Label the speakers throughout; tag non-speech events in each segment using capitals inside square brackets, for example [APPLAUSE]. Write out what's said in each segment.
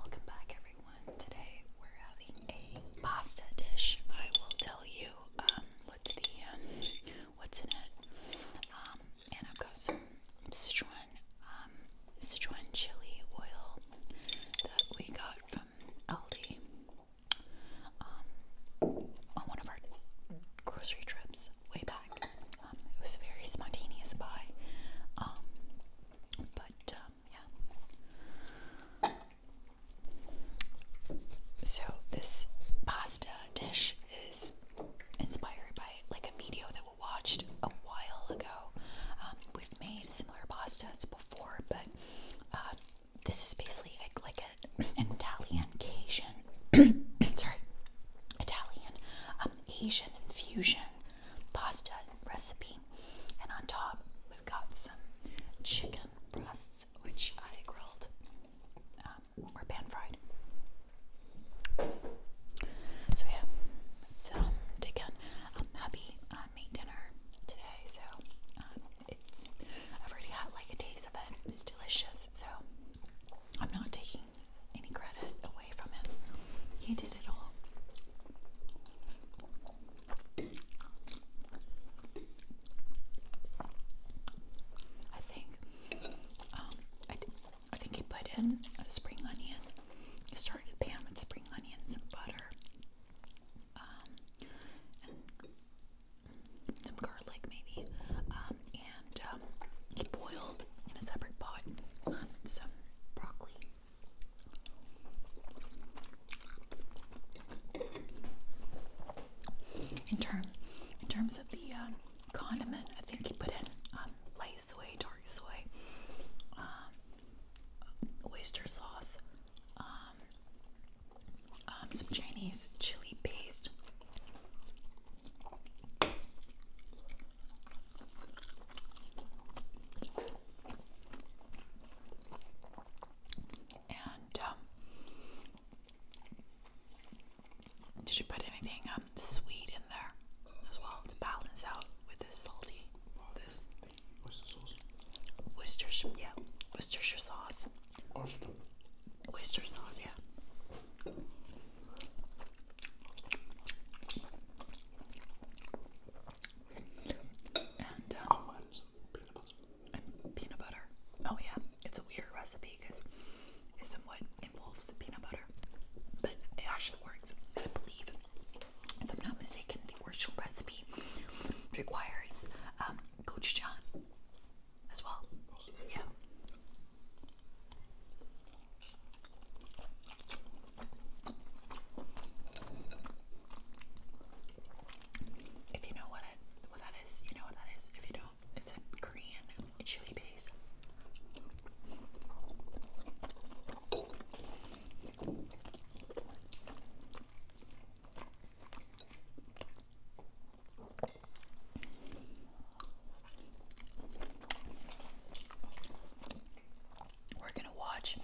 Speaker 1: Welcome back, everyone. Today we're having a pasta dish. I will tell you um, what's the um, what's in it, um, and I've got some Sichuan Sichuan chili oil that we got from Aldi on one of our grocery trips way back. it was a very spontaneous buy. But um, yeah. So this pasta dish is inspired by like a video that we watched a while ago. Um, we've made similar pastas before, but uh, this is basically like, an Italian Cajun, [COUGHS] sorry, Italian um, Asian fusion pasta recipe. And on top, we've got some chicken breasts, which I grilled um, or pan fried. So, yeah, it's us um, dig I'm happy I made dinner today, so um, it's I've already had like a taste of it, it's delicious. So, I'm not taking any credit away from him. He did it all. I think um, I, I think he put in a spring onion. He started pan with spring onions and butter, um, and some garlic maybe, um, and um, he boiled in a separate pot some broccoli in terms, in terms of the um, condiment, I think he put in um, light soy, dark soy, um, oyster sauce, some Chinese chili paste. And um, did you put anything um, sweet in there as well to balance out with the salty? This Worcestershire sauce. Worcestershire, yeah. Worcestershire sauce. Oyster sauce, yeah. Um, oh, and peanut butter. Oh yeah, it's a weird recipe because it somewhat involves peanut butter, but it actually works. I believe, if I'm not mistaken, the original recipe requires um, gochujang as well. Oh, yeah. If you know what what that is, you know what that is. If you don't, it's a Korean chili base. We're gonna watch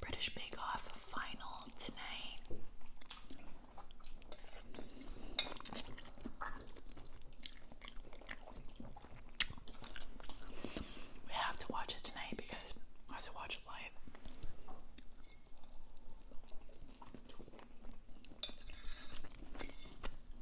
Speaker 1: British Bake Off final tonight. We have to watch it tonight because I have to watch it live.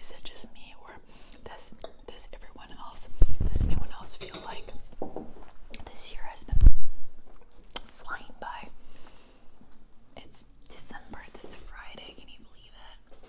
Speaker 1: Is it just me or does does everyone else does anyone else feel like this year has been flying by? It's December this Friday, can you believe it?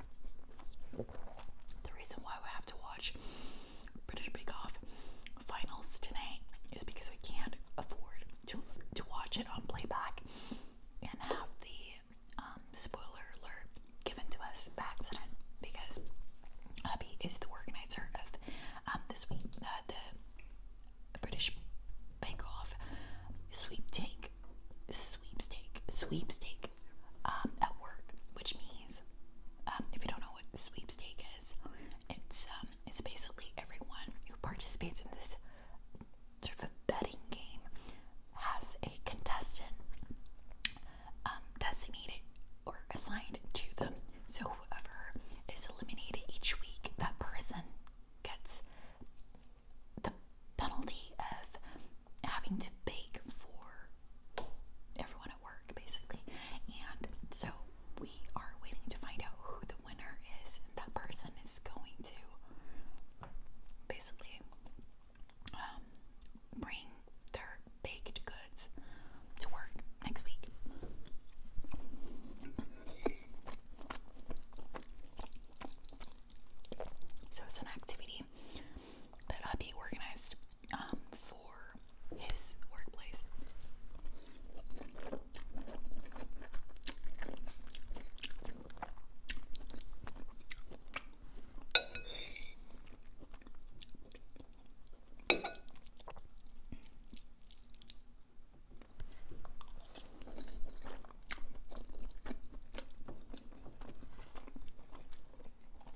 Speaker 1: The reason why we have to watch British Bake Off finals tonight is because we can't afford to to watch it on playback and have the um, spoiler alert given to us by accident because Abby is the organizer of um, this week uh, the British Bake Off sweeptake sweepstake sweepstake um, at work, which means um, if you don't know what sweepstakes is, it's um, it's basically everyone who participates in this sort of a betting game has a contestant um, designated or assigned to them. So whoever is eliminated each week, that person gets the penalty of having to bake for everyone at work basically. And so we are waiting to find out who the winner is. And that person is going to basically um, bring their baked goods to work next week. So it's an activity that I be organized um, for his workplace.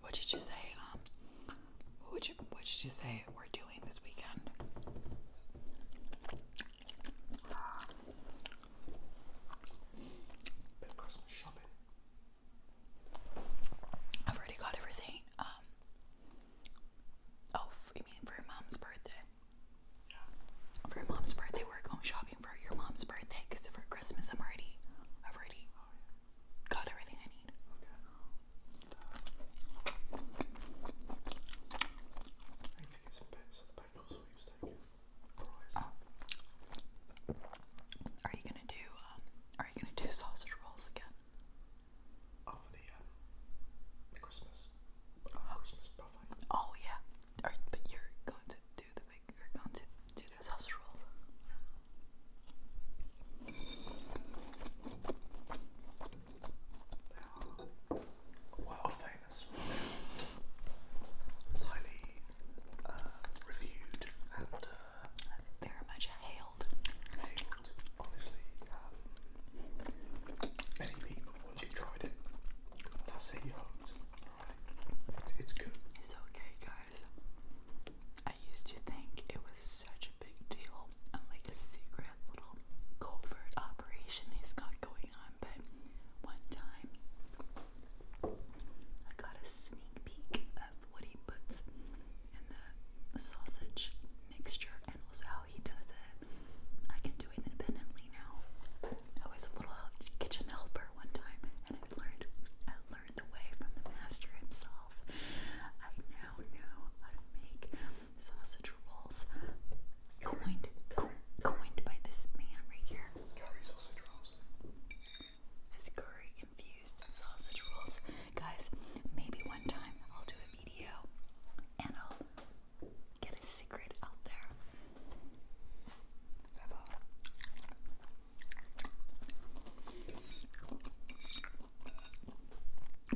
Speaker 1: What did you say? Um, what would you, what did you say we're doing this weekend? I've already got everything. Um, oh, you mean for your mom's birthday? For mom's birthday, we're going shopping for your mom's birthday because for Christmas, I'm already, I've already oh, got everything I need. Oh. Are you gonna do um, are you gonna do sausage rolls again? Oh, for the um, Christmas uh, oh. Christmas buffet. Oh yeah. but you're going to do the big you're going to do the sausage roll. Yeah. Wow, Highly reviewed and very much hailed. Hailed, honestly. many people, once you tried it, that's it, you hooked. it's good. It's okay, guys. I used to think it was such a big deal and like a secret little covert operation he's got going but one time I got a sneak peek of what he puts in the sausage mixture and also how he does it. I can do it independently now. I a little kitchen helper one time and I learned the way from the master himself. I now know how to make sausage rolls coined, coined by this man right here. Curry sausage rolls. It's curry infused sausage rolls. Guys, maybe one time I'll do a video and I'll get a secret out there.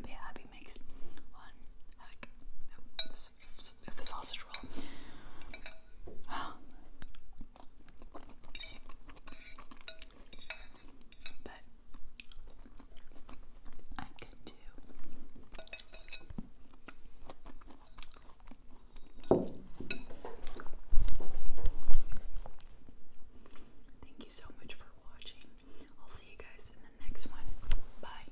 Speaker 1: yeah, Abby makes one, with a sausage roll. [GASPS] but I could do. Thank you so much for watching. I'll see you guys in the next one. Bye.